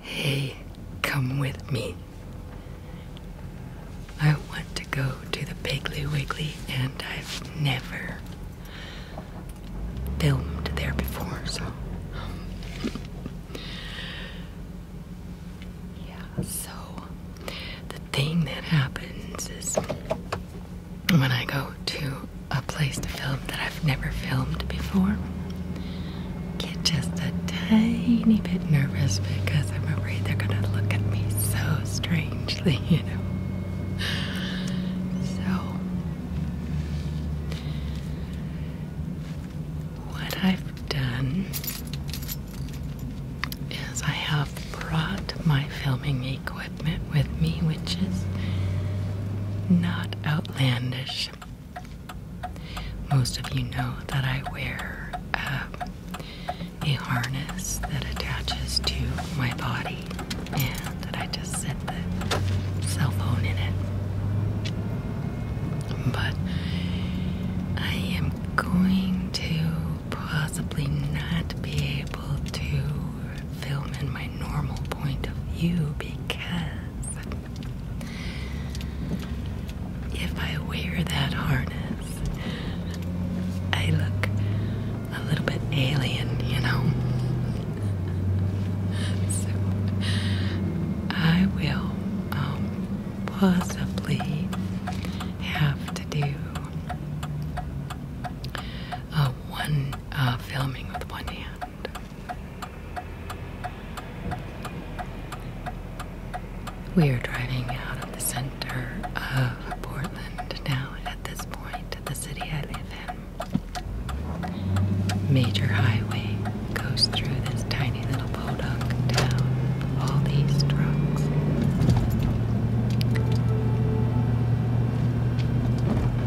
Hey, come with me. I want to go to the Piggly Wiggly, and I've never filmed there before, so. Yeah, so the thing that happens is when I go to a place to film that I've never filmed before, get just a tiny bit nervous because I'm afraid they're gonna look at me so strangely, you know. So, what i done is I have brought my filming equipment with me, which is not outlandish. Most of you know that I wear um, a harness that attaches to my body and that I just set the cell phone in it but I am going to possibly not be able to film in my normal point of view because if I wear that harness, I look a little bit alien, you know. So I will um, possibly have to do uh, one uh, filming with one hand. We are driving out of the center of Portland now at this point, the city I live in. Major highway goes through this tiny little podunk town. All these trucks.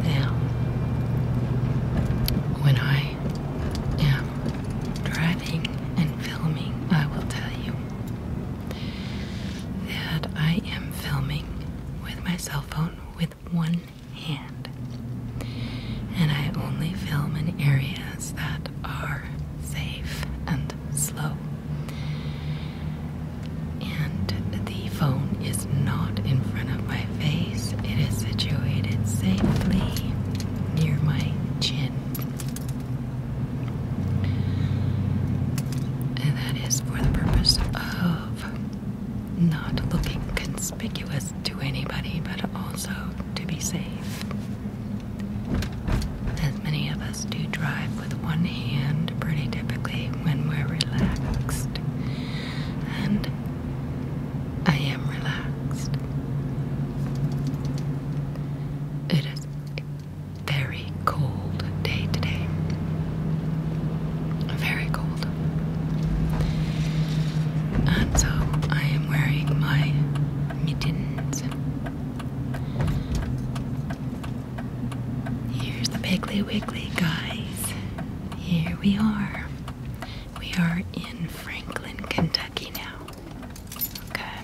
Now, when I am driving and filming, I will tell you that I am filming with my cell phone with one hand. And I only film in areas that are safe and slow. And the phone is not in front of my face, it is situated safely near my chin. And that is for the purpose of not looking conspicuous to anybody, but also to be safe. As many of us do drive with one hand pretty typically when we're relaxed, and I am relaxed. It is a very cold day today. Very cold. And so I wearing my mittens. Here's the Piggly Wiggly, guys. Here we are. We are in Franklin, Kentucky now. Okay.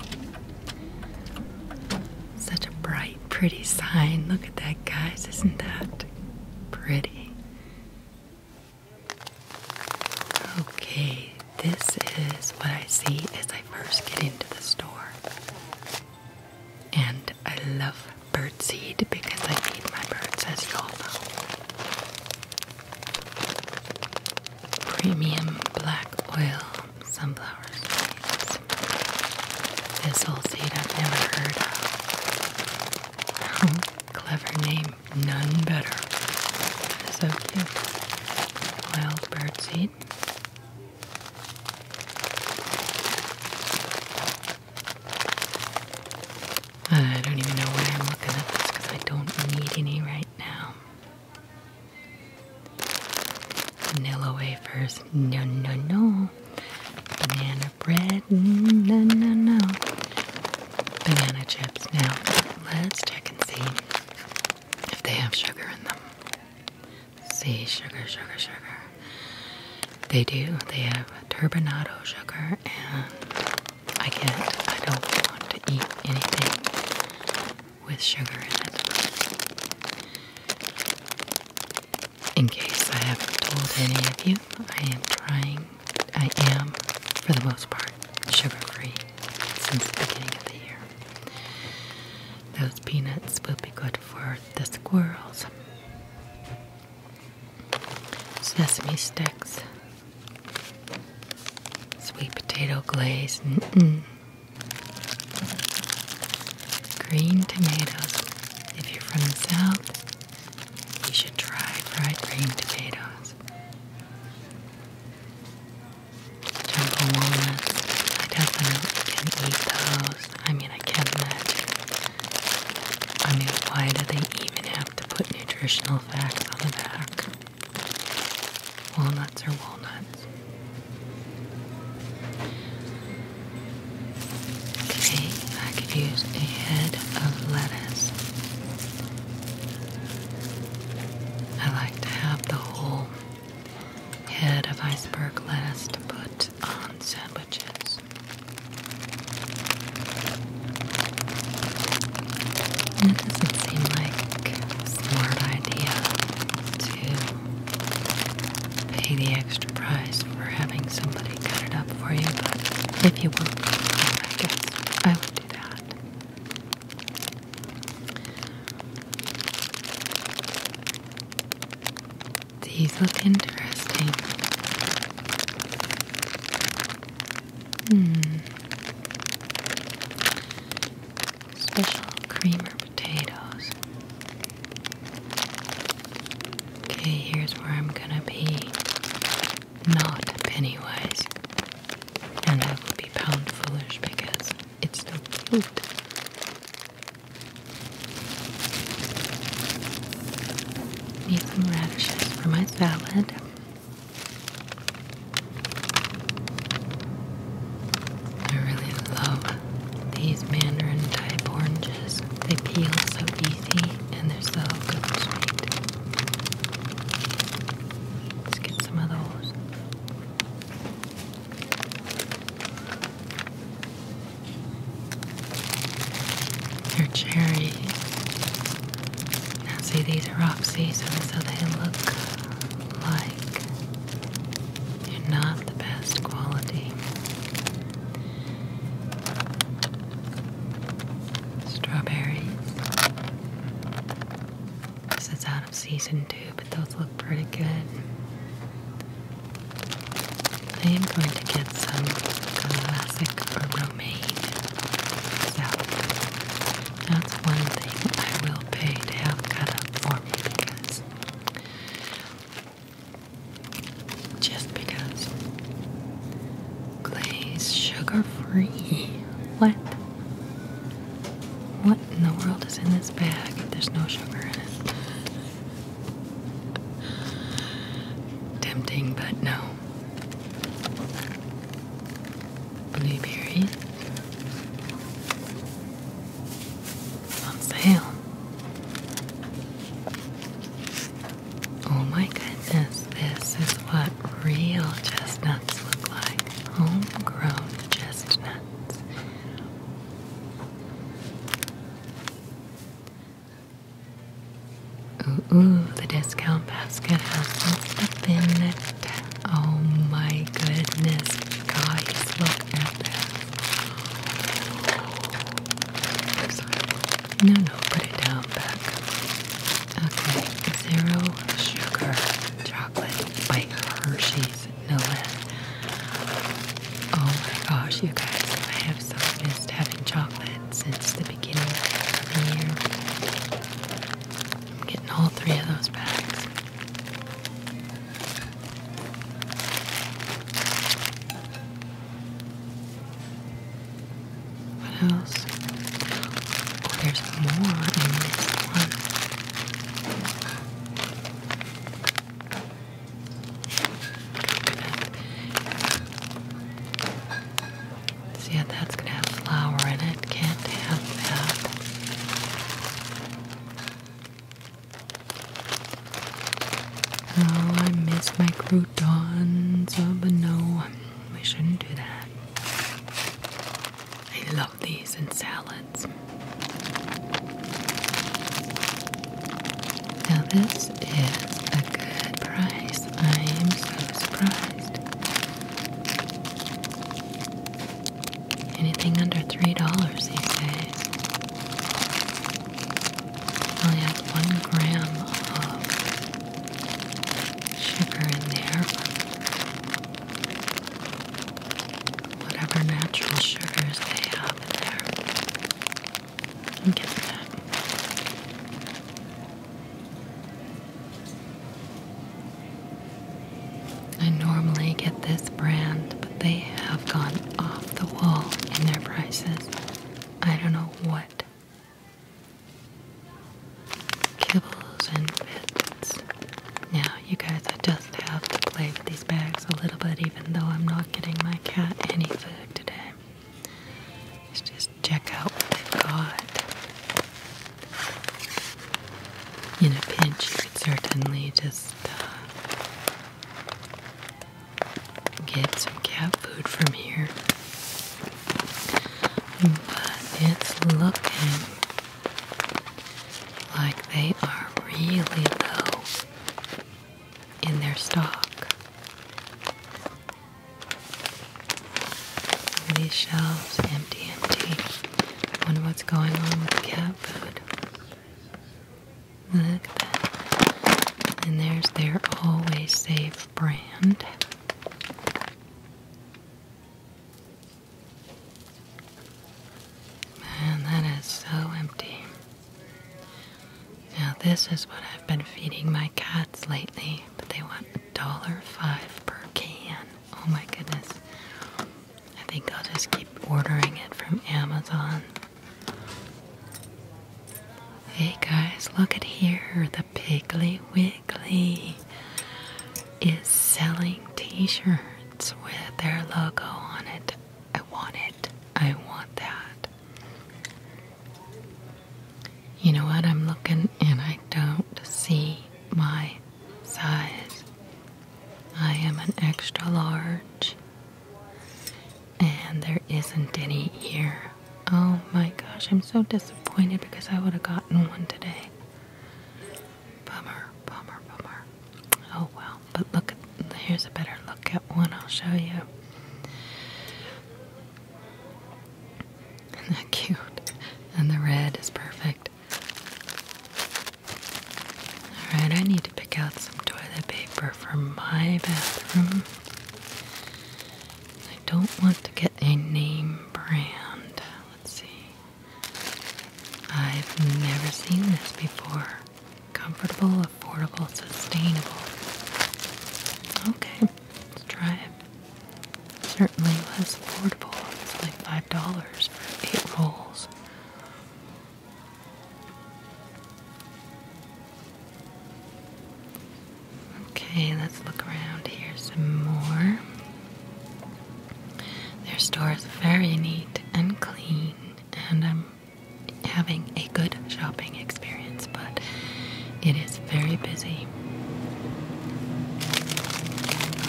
Such a bright, pretty sign. Look at that, guys. Isn't that pretty? Okay, this is what I see as I first get into the store. And I love birdseed because I feed my birds, as you all know. Premium black oil sunflower seeds. This seed I've never heard of. Clever name. None better. So cute. Wild bird seed. I don't even know why I'm looking at this because I don't need any right now. Vanilla wafers. No, no, no. Banana bread. No, no, no banana chips. Now, let's check and see if they have sugar in them. see, sugar, sugar, sugar. They do. They have turbinado sugar, and I can't, I don't want to eat anything with sugar in it. In case I haven't told any of you, I am trying I am, for the most part, sugar free since the beginning of the year. Those peanuts will be good for the squirrels. Sesame sticks, sweet potato glaze, mm green tomatoes. If you're from the south, you should try fried green tomatoes sounds. Jungle walnuts. I definitely can eat those. I mean, I can imagine. I mean, why do they even have to put nutritional facts on the back? Walnuts are walnuts. Okay, I could use a head of lettuce. I like to have the whole head of iceberg lettuce put on sandwiches. It doesn't seem like a smart idea to pay the extra price for having somebody cut it up for you, but if you want, I guess I would do that. These look interesting. Hmm. Special creamer potatoes. Okay, here's where I'm gonna be not Pennywise. And I will be pound foolish because it's no flute. Need some radishes for my salad. I really love these mandarin type oranges. They peel so easy and they're so good sweet. Let's get some of those. They're cherries. Now see these are off season, so they look like they're not the best quality. Strawberries. This is out of season too, but those look pretty good. I am going to get some classic romaine salad. That's one thing I will pay to have cut up for me because just because glaze sugar free. What? What in the world is in this bag if there's no sugar in it? Tempting, but no. Blueberries on sale. Oh my goodness, this is what real chestnuts look like. Homegrown chestnuts. Ooh, the discount basket has some in it. Oh my goodness, guys, look at this. No, no, put it down back. Okay, zero sugar chocolate by Hershey's, no less. Oh my gosh, you guys, I have so missed having chocolate since the beginning of the year. I'm getting all three of those bags. What else? Oh, there's more in this one. See, how that's gonna have flour in it. Can't have that. Oh, I miss my croutons. Oh, but no. We shouldn't do that. I love these in salads. Now, this is a good price. I am so surprised. Anything under $3 these days. only have one gram of sugar in there, whatever natural sugars they have there. I'm getting that. I normally get this brand, but they have gone off the wall in their prices. I don't know what kibbles and bits. Now, you guys, I just have to play with these bags a little bit, even though I'm not getting my cat any food today. Let's just check out what they've got. In a pinch, you could certainly just uh, get some cat food from here. But it's looking like they are really low in their stock. These shelves empty, empty. I wonder what's going on with cat food. Look at that. And there's their always safe brand. Man, that is so empty. Now, this is what I've been feeding my cats lately, but they want a dollar five per can. Oh my goodness. I think I'll just keep ordering it from Amazon. Hey guys, look at here. Piggly Wiggly is selling t shirts with their logo on it. I want it. I want that. You know what? I'm looking and I don't see my size. I am an extra large, and there isn't any here. Oh my gosh, I'm so disappointed because I would have gotten one today. Bummer, bummer, bummer. Oh well, but look here's a better look at one I'll show you. Isn't that cute? And the red is perfect. Alright, I need to pick out some toilet paper for my bathroom. I don't want to get a name brand. Let's see. I've never seen this before. Comfortable, affordable, sustainable. Okay, let's try it. Certainly was affordable. It's like five dollars for eight rolls. Okay, let's look around here some more. Their store is very neat and clean, and I'm having a good shopping experience, but it is very busy.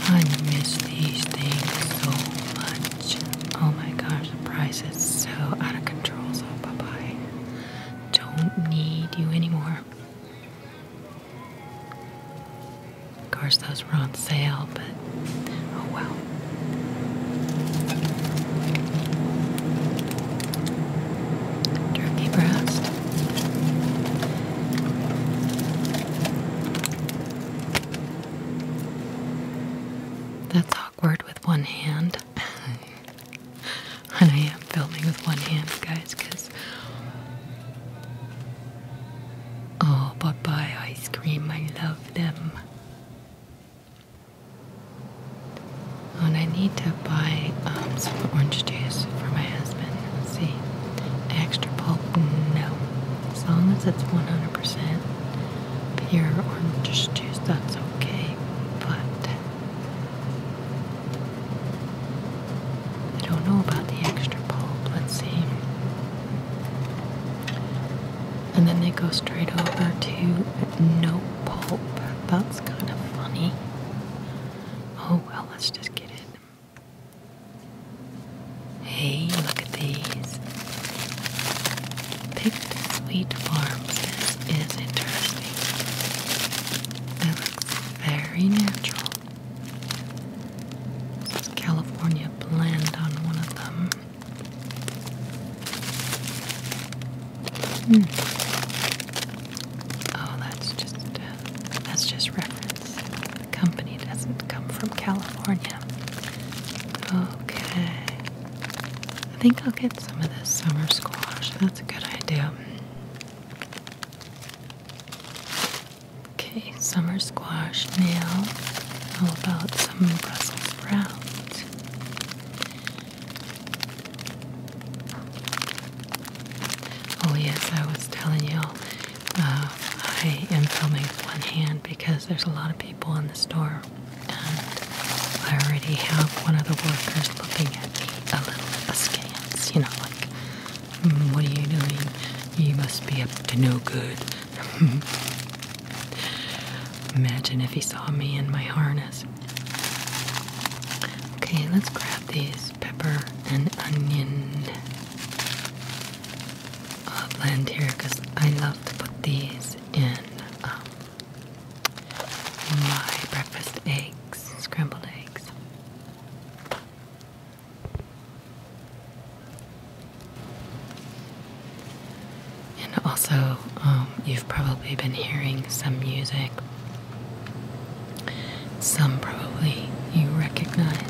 I miss these things so much. Oh my gosh, the price is so out of control, so bye bye. Don't need you anymore. Of course, those were on sale, but oh well. Turkey breast. That's awkward with one hand. And I am filming with one hand, guys, because. Oh, but bye ice cream, I love them. Oh, and I need to buy um, some orange juice for my husband. Let's see. Extra pulp? No. As long as it's 100% pure orange juice, that's okay. But I don't know about the extra pulp. Let's see. And then they go straight over to no pulp. That's kind of funny. Oh well, let's just get it. Hey, look at these. Picked Sweet Farms is interesting. It looks very natural. California blend on one of them. Hmm. Oh, that's just uh, that's just reference. The company doesn't come from California. Okay. I think I'll get some of this summer squash. That's a good idea. Okay, summer squash now. How about some Brussels sprouts? Oh, yes, I was telling you, uh, I am filming with one hand because there's a lot of people in the store, and I already have one of the workers looking at me a little of askance, you know, like, hmm, what are you doing? You must be up to no good. Imagine if he saw me in my harness. Okay, let's grab these pepper and onion. i uh, blend here because I love to put these in um, my breakfast eggs, scrambled eggs. And also, um, you've probably been hearing some music. Some probably you recognize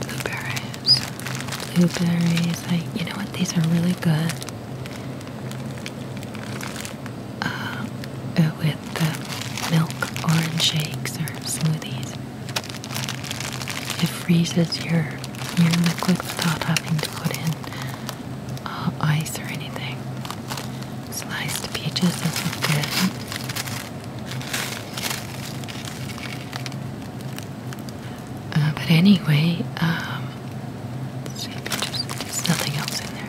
blueberries, blueberries. I, you know what? These are really good. Uh, uh, with the milk orange shakes or smoothies. It freezes your your liquid without having to put in uh, ice or anything. Sliced peaches is good. but anyway, um, There's nothing else in there.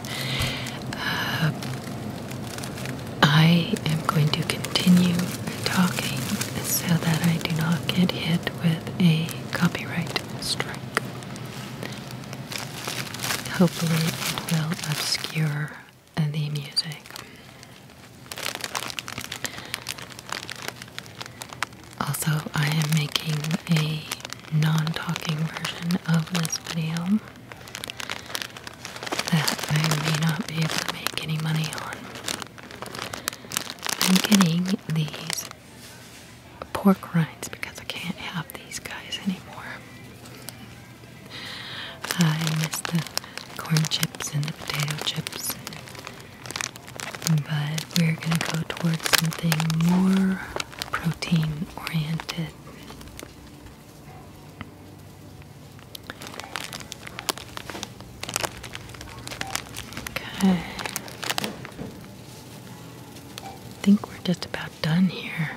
Uh, I am going to continue talking so that I do not get hit with a copyright strike. Hopefully, it will obscure the music. Also, I am making a non-talking version of this video that I may not be able to make any money on. I'm getting these pork rinds because I can't have these guys anymore. I miss the corn chips and the potato chips, but we're going to go towards something more protein oriented. Okay. I think we're just about done here.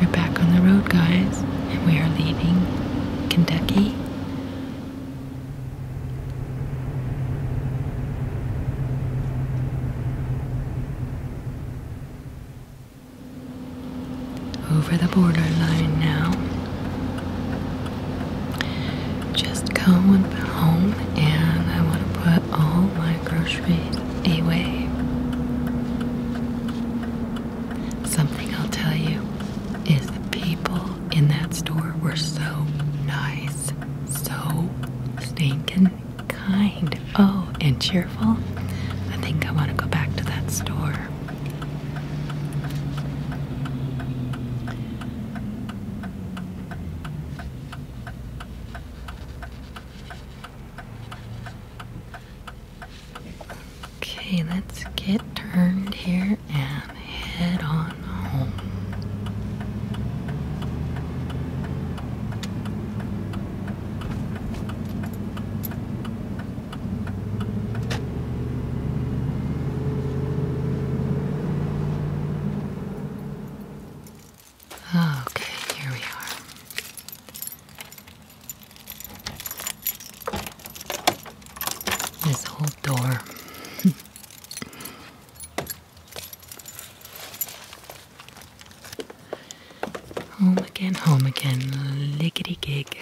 We're back on the road, guys, and we are leaving Kentucky over the borderline now. Just come home and I want to put all my groceries away. Something I'll tell you is the people in that store were so nice so stinking kind. Oh, and cheerful. I think I want to go back to that store. Okay, let's get turned here and head on home. Okay, here we are. This whole door. Home again, home again, lickety gig.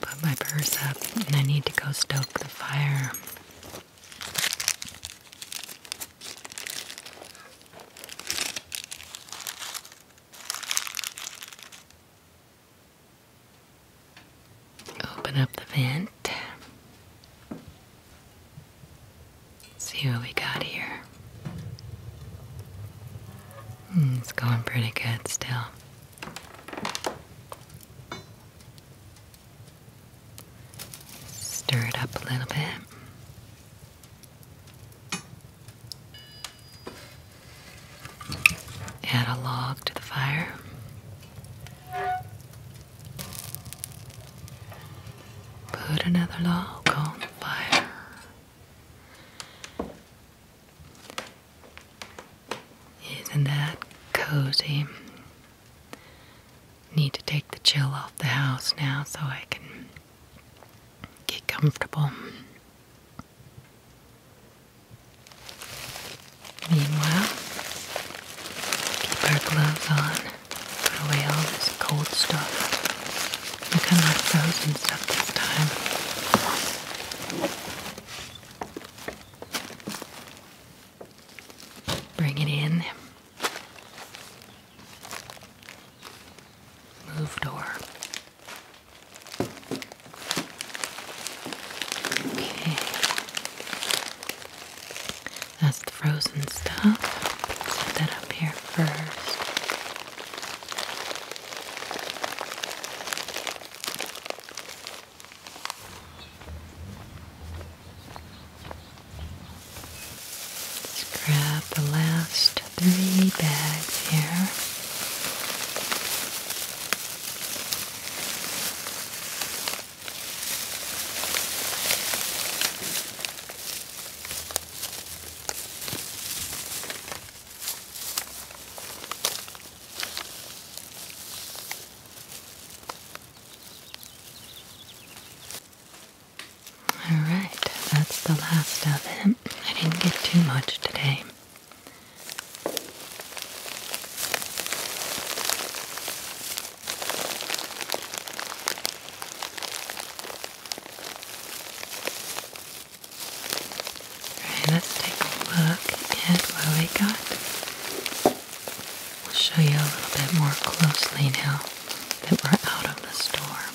Put my purse up and I need to go stoke the fire. Open up the vent. See what we got here. Hmm, it's going pretty good still. Stir it up a little bit. Add a log to the fire. Put another log on the fire. Isn't that cozy? Need to take the chill off the house now so I can get comfortable. Meanwhile, keep our gloves on, put away all this cold stuff. Look, I'm not frozen stuff this time. Bring it in. Move door. Okay. That's the frozen stuff. put that up here first. Let's grab the last three bags here. All right, that's the last of it. I didn't get too much today. Alright, let's take a look at what we got. We'll show you a little bit more closely now that we're out of the store.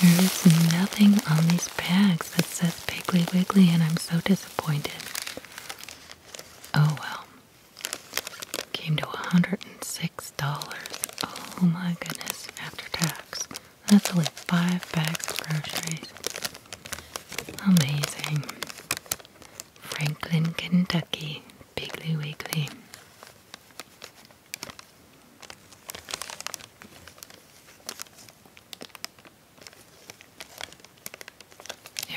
There is nothing on these bags that says Piggly Wiggly, and I'm so disappointed. Oh well. Came to $106. Oh my goodness, after tax. That's only five bags of groceries. Amazing. Franklin, Kentucky, Piggly Wiggly.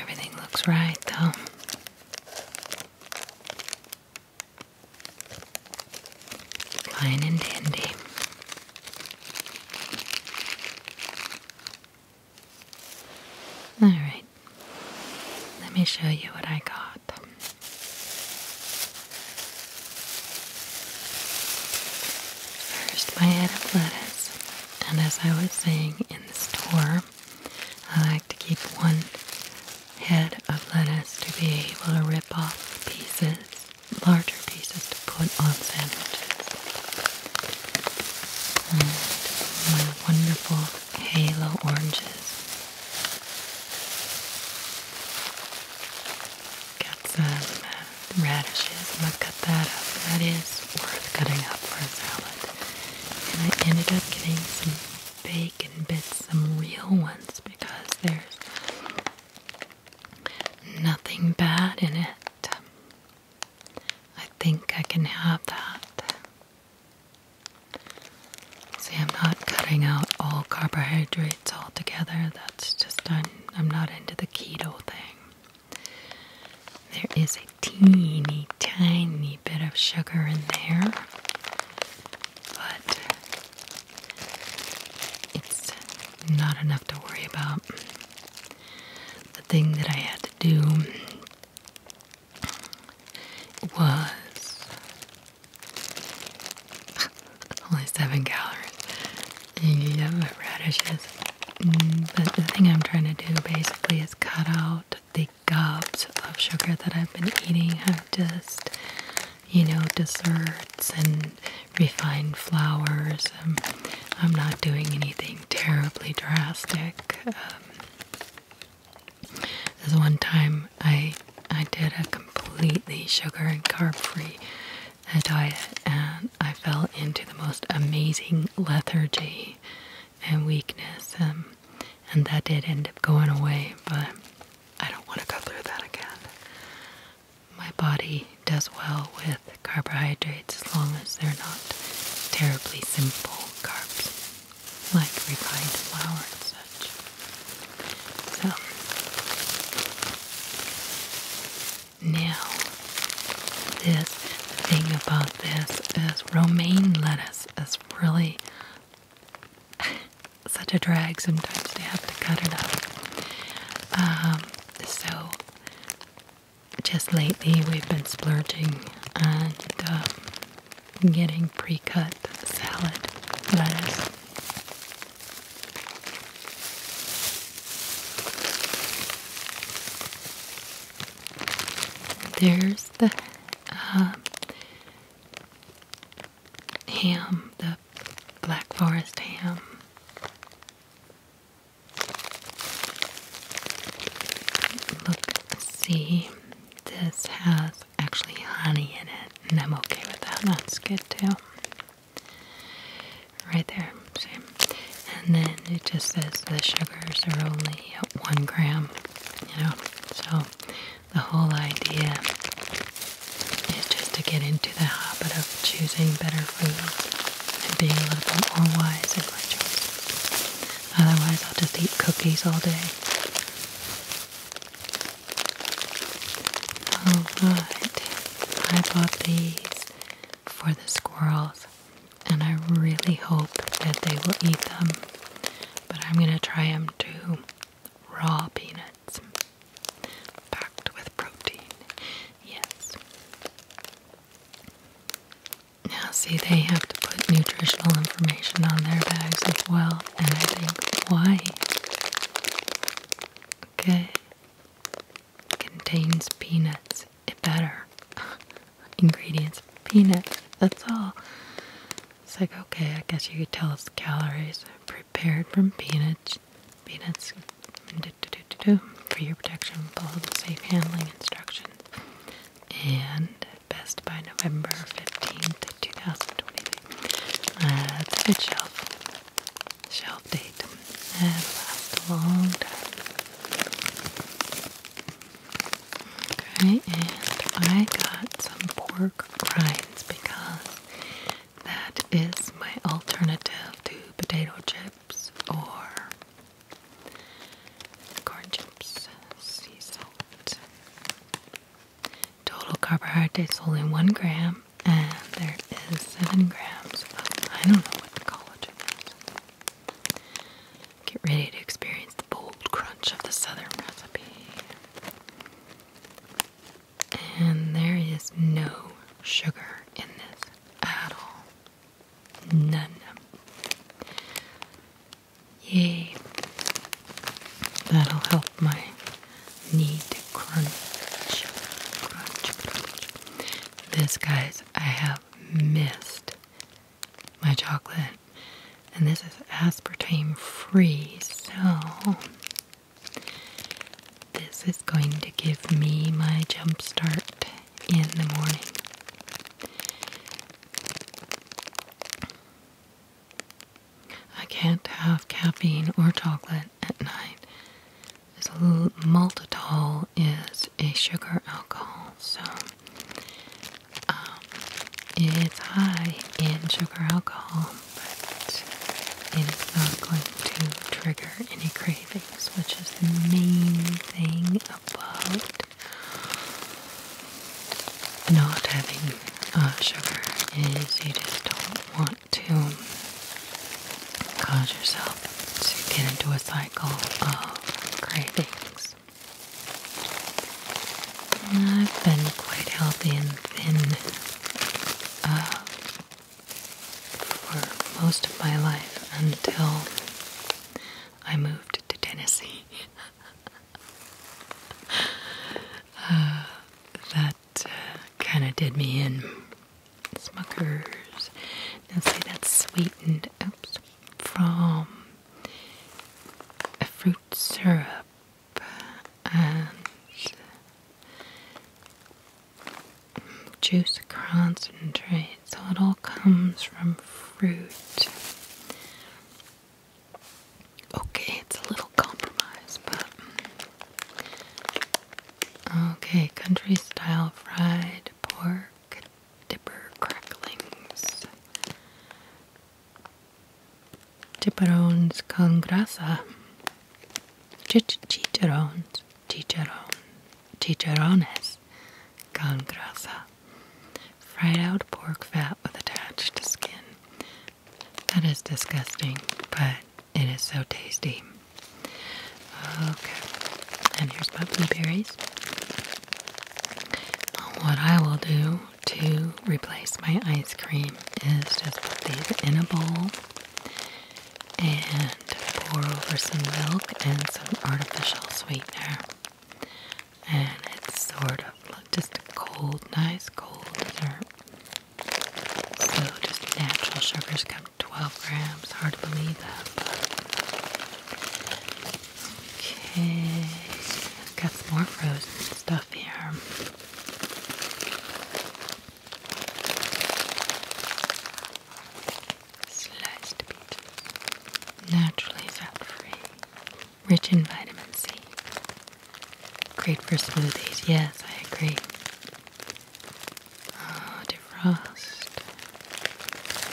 Everything looks right, though. Fine and dandy. All right, let me show you what I got. First, my head of lettuce. And as I was saying in the store, I like to keep one head of lettuce to be able to rip off pieces, larger pieces to put on sandwiches. And my wonderful halo oranges some uh, radishes. I'm going to cut that up. That is worth cutting up for a salad. And I ended up getting some bacon bits, some real ones, because there's nothing bad in it. I think I can have that. See, I'm not cutting out all carbohydrates altogether. That's just, I'm not into the keto thing. There is a teeny tiny bit of sugar in there, but it's not enough to worry about. The thing that I had to do was only seven calories. You have radishes. Mm, the thing I'm trying to do basically is cut out the gobs of sugar that I've been eating. I've just, you know, desserts and refined flours. Um, I'm not doing anything terribly drastic. Um, There's one time I I did a completely sugar and carb free diet, and I fell into the most amazing lethargy and weakness, um, and that did end up going away, but I don't want to go through that again. My body does well with carbohydrates as long as they're not terribly simple carbs like refined flour and such. So, now, this thing about this is romaine lettuce is really such a drag. Sometimes they have to cut it up. Um, so, just lately we've been splurging and um, getting pre-cut salad lettuce. There's the um, ham, the Black Forest ham. Look, see, this has actually honey in it, and I'm okay with that. That's good too. Right there, same. And then it just says the sugars are only one gram, you know. So the whole idea is just to get into the habit of choosing better foods and being a little bit more wise in my choice. Otherwise, I'll just eat cookies all day. Alright, I bought these for the squirrels, and I really hope that they will eat them. But I'm gonna try them too. Raw peanuts, packed with protein. Yes. Now, see, they have to put nutritional information on their bags as well, and I think, why? Okay, contains peanuts. It better. Ingredients peanuts. That's all. It's like, okay, I guess you could tell us calories prepared from peanuts. Peanuts for your protection. Follow the safe handling instructions. And best by November 15th, 2023. Uh, that's a good shelf shelf date. That'll last a long time. Okay, and I got some pork rinds because that is my alternative to potato chips or corn chips, sea salt. Total carbohydrates only one gram and there is seven grams of I don't know what the collagen is. Get ready to experience the bold crunch of the southern recipe. And there is no sugar in this at all. None. Yay. That'll help my need to crunch, crunch, crunch. This, guys, I have missed my chocolate. And this is aspartame free, so this is going to give me my jump start in the morning. I can't have caffeine or chocolate at night is maltitol is a sugar alcohol, so um, it's high in sugar alcohol, but it is not going to trigger any cravings, which is the main thing about not having uh, sugar is you just don't want to cause yourself to get into a cycle of cravings. I've been quite healthy and thin uh, for most of my life until I moved to Tennessee. Uh, that uh, kind of did me in. Smuckers. Now see that's sweetened from a fruit syrup and mm, juice concentrate. So it all comes from fruit. Okay, it's a little compromise, but mm, Okay, country style fried pork dipper cracklings. Chicharrones con grasa. Ch chicharrones, chicharron, chicharrones con grasa. Fried out pork fat with attached skin. That is disgusting, but it. It is so tasty. Okay, and here's my blueberries. What I will do to replace my ice cream is just put these in a bowl and pour over some milk and some artificial sweetener. And it's sort of just a cold, nice cold dessert. So just natural sugars go 12 grams. Hard to believe that, but. Okay. Got some more frozen stuff here. Sliced peaches. Naturally fat free. Rich in vitamin C. Great for smoothies. Yes, I agree. Uh, defrost.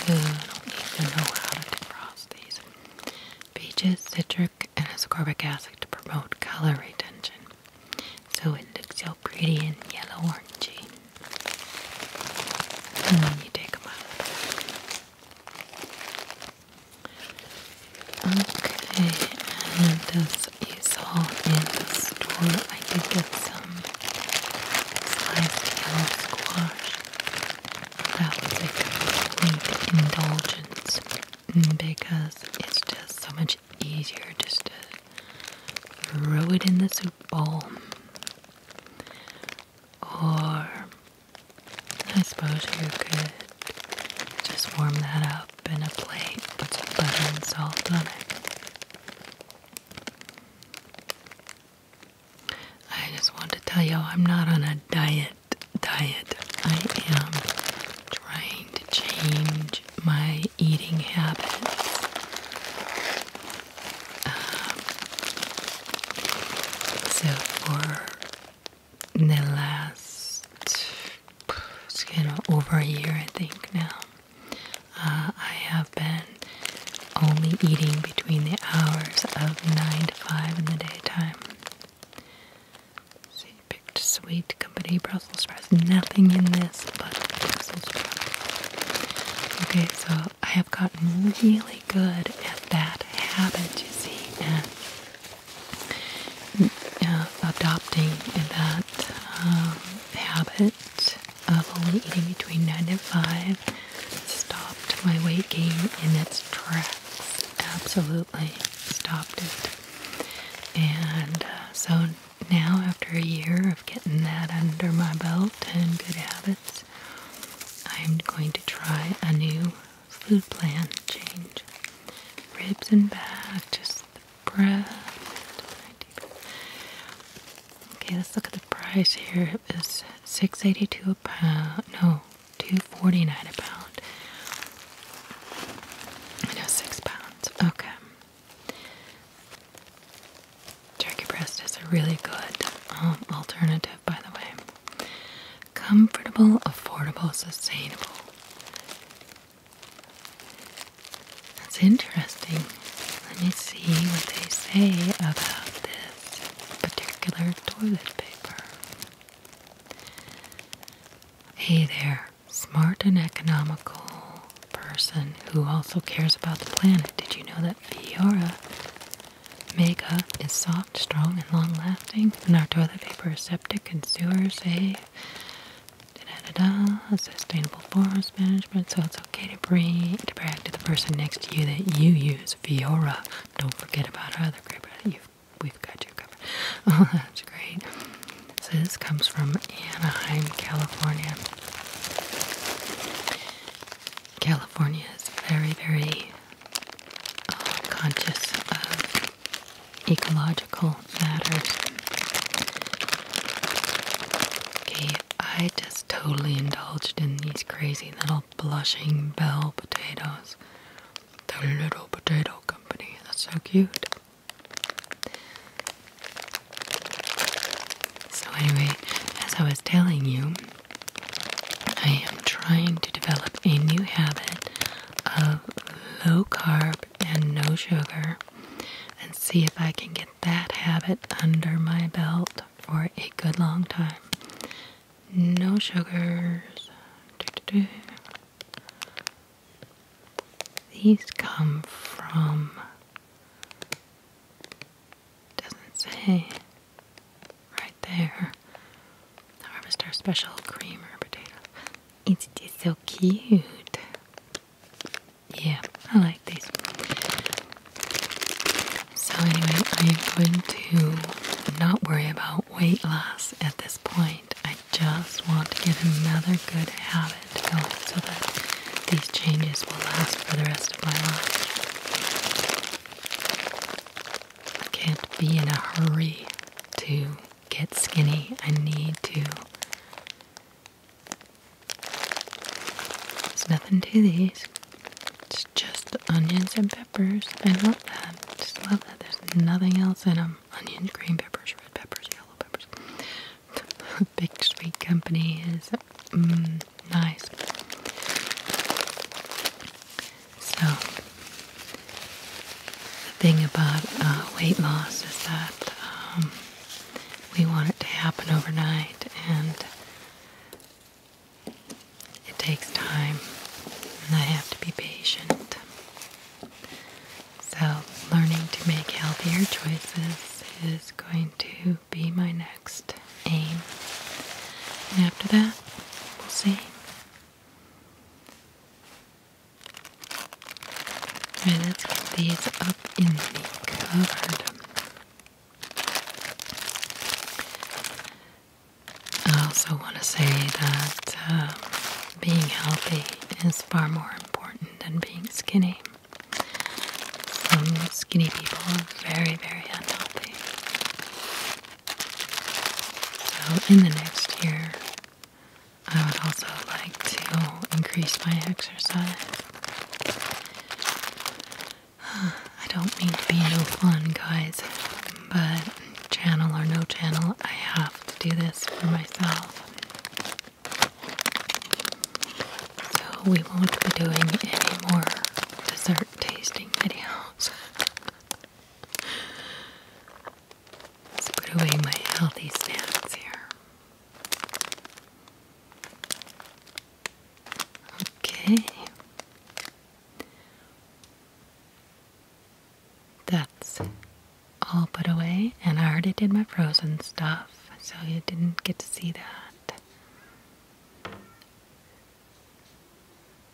You don't even know how to defrost these. Peaches, citric, and ascorbic acid to promote color retention. So it looks so pretty and yellow orangey. And hmm, then you take them out. Okay, and this you saw in the store I did get some sliced yellow squash. That was a complete indulgence because it's just so much easier just to throw it in the soup bowl. Or I suppose you could just warm that up in a plate, put some butter and salt on it. I just want to tell you I'm not on a diet diet. I am trying to change my eating habits. Um, so for the last it's kind of over a year I think now. Uh, I have been only eating between the hours of 9 to 5 in the daytime. So you picked sweet company Brussels sprouts. Nothing in this but Brussels sprouts. Okay, so I have gotten really good at that habit, you see, and mm, uh, adopting that um, habit habit of only eating between 9 and 5 stopped my weight gain in its tracks. Absolutely stopped it. And uh, so now, after a year of getting that under my belt and good habits, I'm going to try a new food plan change. Ribs and back, just Breast. Okay, let's look at the price here. It is six eighty two a pound. No, two forty nine a pound. No, six pounds. Okay. Turkey breast is a really good um, alternative, by the way. Comfortable, affordable, sustainable. That's interesting. Let me see what they say about this particular toilet paper. Hey there, smart and economical person who also cares about the planet. Did you know that Fiora Mega is soft, strong, and long lasting? And our toilet paper is septic and sewer safe sustainable forest management. So it's okay to bring to brag to the person next to you that you use Viora. Don't forget about our other group. we've got you covered. Oh, that's great. So this comes from Anaheim, California. California is very, very uh, conscious of ecological Okay, I just totally indulged in these crazy little blushing bell potatoes. The Little Potato Company. That's so cute. So, anyway, as I was telling you, I am trying to develop a new habit of low carb and no sugar and see if I can get that habit under my belt for a good long time. No sugars. These come from doesn't say right there. Harvest our special creamer potato. It's just so cute. Yeah, I like these. So anyway, I'm going to not worry about weight loss at this point. I just want to get another good habit going so that these changes will last for the rest of my life. I can't be in a hurry to get skinny. I need to there's nothing to these. It's just onions and peppers. I love that. Just love that. There's nothing else in them. Onions, green peppers, red peppers, yellow peppers. Big Sweet Company is mm, nice. So, the thing about uh, weight loss is that um, we want it to happen overnight and it takes time and I have to be patient. So learning to make healthier choices is going to be my next aim. And after that, we'll see let's get these up in the cupboard. I also want to say that um, being healthy is far more important than being skinny. Some skinny people are very, very unhealthy. So, in the next year, I would also like to increase my exercise. I don't mean to be no fun, guys, but channel or no channel, I have to do this for myself. So we won't be doing any more dessert tasting videos. Let's put away my healthy snacks here. Okay. That's all put away, and I already did my frozen stuff, so you didn't get to see that.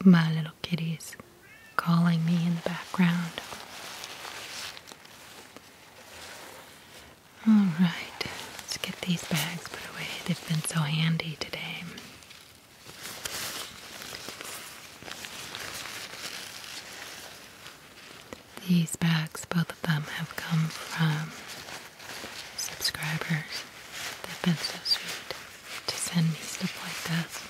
My little kitty's calling me in the background. Alright, let's get these bags put away. They've been so handy today. These bags, both of them, have come from subscribers. They've been so sweet to send me stuff like this.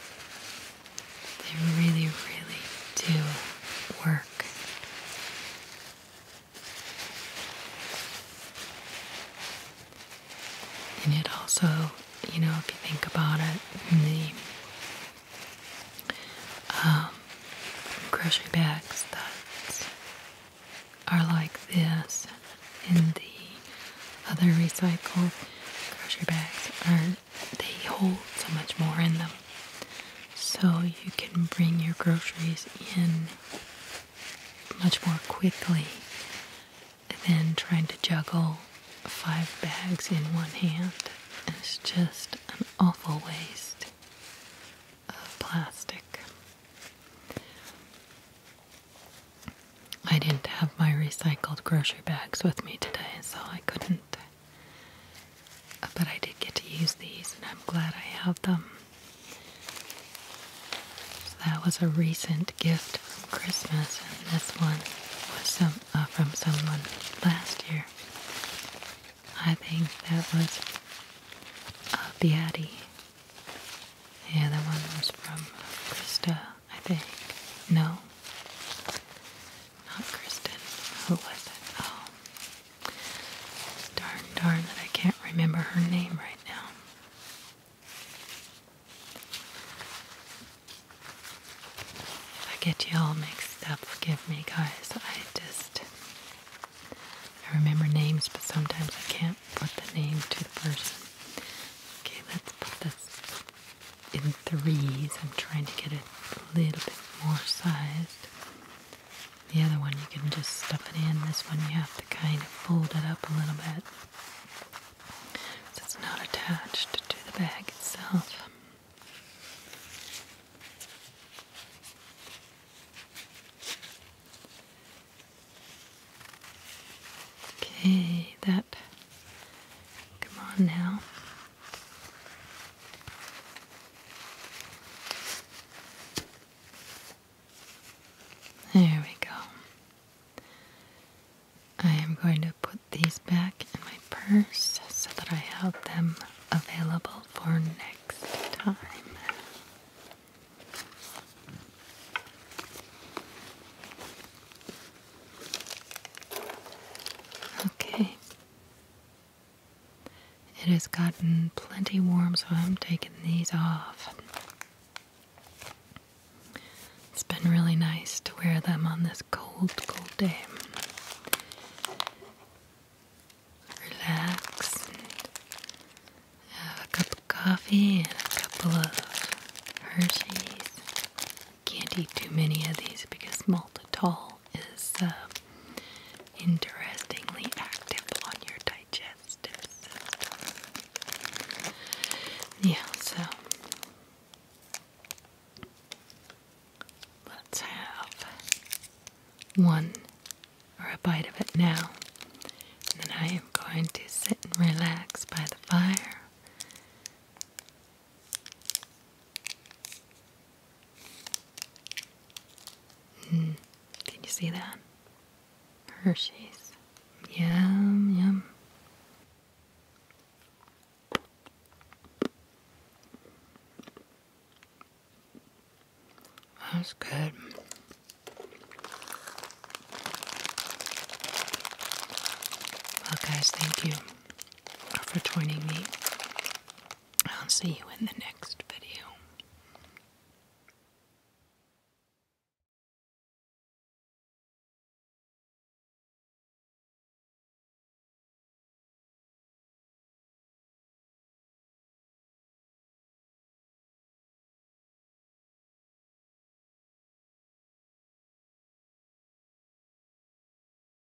They really, really do work. And it also, you know, if you think about it, the um, grocery bags that are like this and the other recycled grocery bags are they hold so much more in them. So you can bring your groceries in much more quickly than trying to juggle five bags in one hand. It's just an awful waste of plastic. I didn't have my recycled grocery bags with me today, so I couldn't but I did get to use these, and I'm glad I have them. that was a recent gift from Christmas, and this one was uh, from someone last year. I think that was uh, Beatty. Yeah, that one was from Krista, I think. No, not Kristen. Who was it? Oh. Darn, darn that I can't remember her name right now. If I get you all mixed up, forgive me, guys. I just. I remember names, but sometimes I can't put the name to the person. Okay, let's put this in threes. I'm trying to get a little bit more size. The other one you can just stuff it in. This one you have to kind of fold it up a little bit. it's not attached to the bag itself. Okay, that. Come on now. There we go. I am going to put these back in my purse so that I have them available for next time. Okay. It has gotten plenty warm, so I'm taking these off. It's been really nice to wear them on this cold, cold day. Relax and have a cup of coffee and a couple of Hershey's. Can't eat too many of these because maltitol is um, interestingly active on your digestive system. Yeah, so let's have one or a bite of it now. And then I am going to sit and relax by the fire Mm, can you see that? Hershey's. Yum, yum. That's good. Well, guys, thank you for joining me I'll see you in the next video.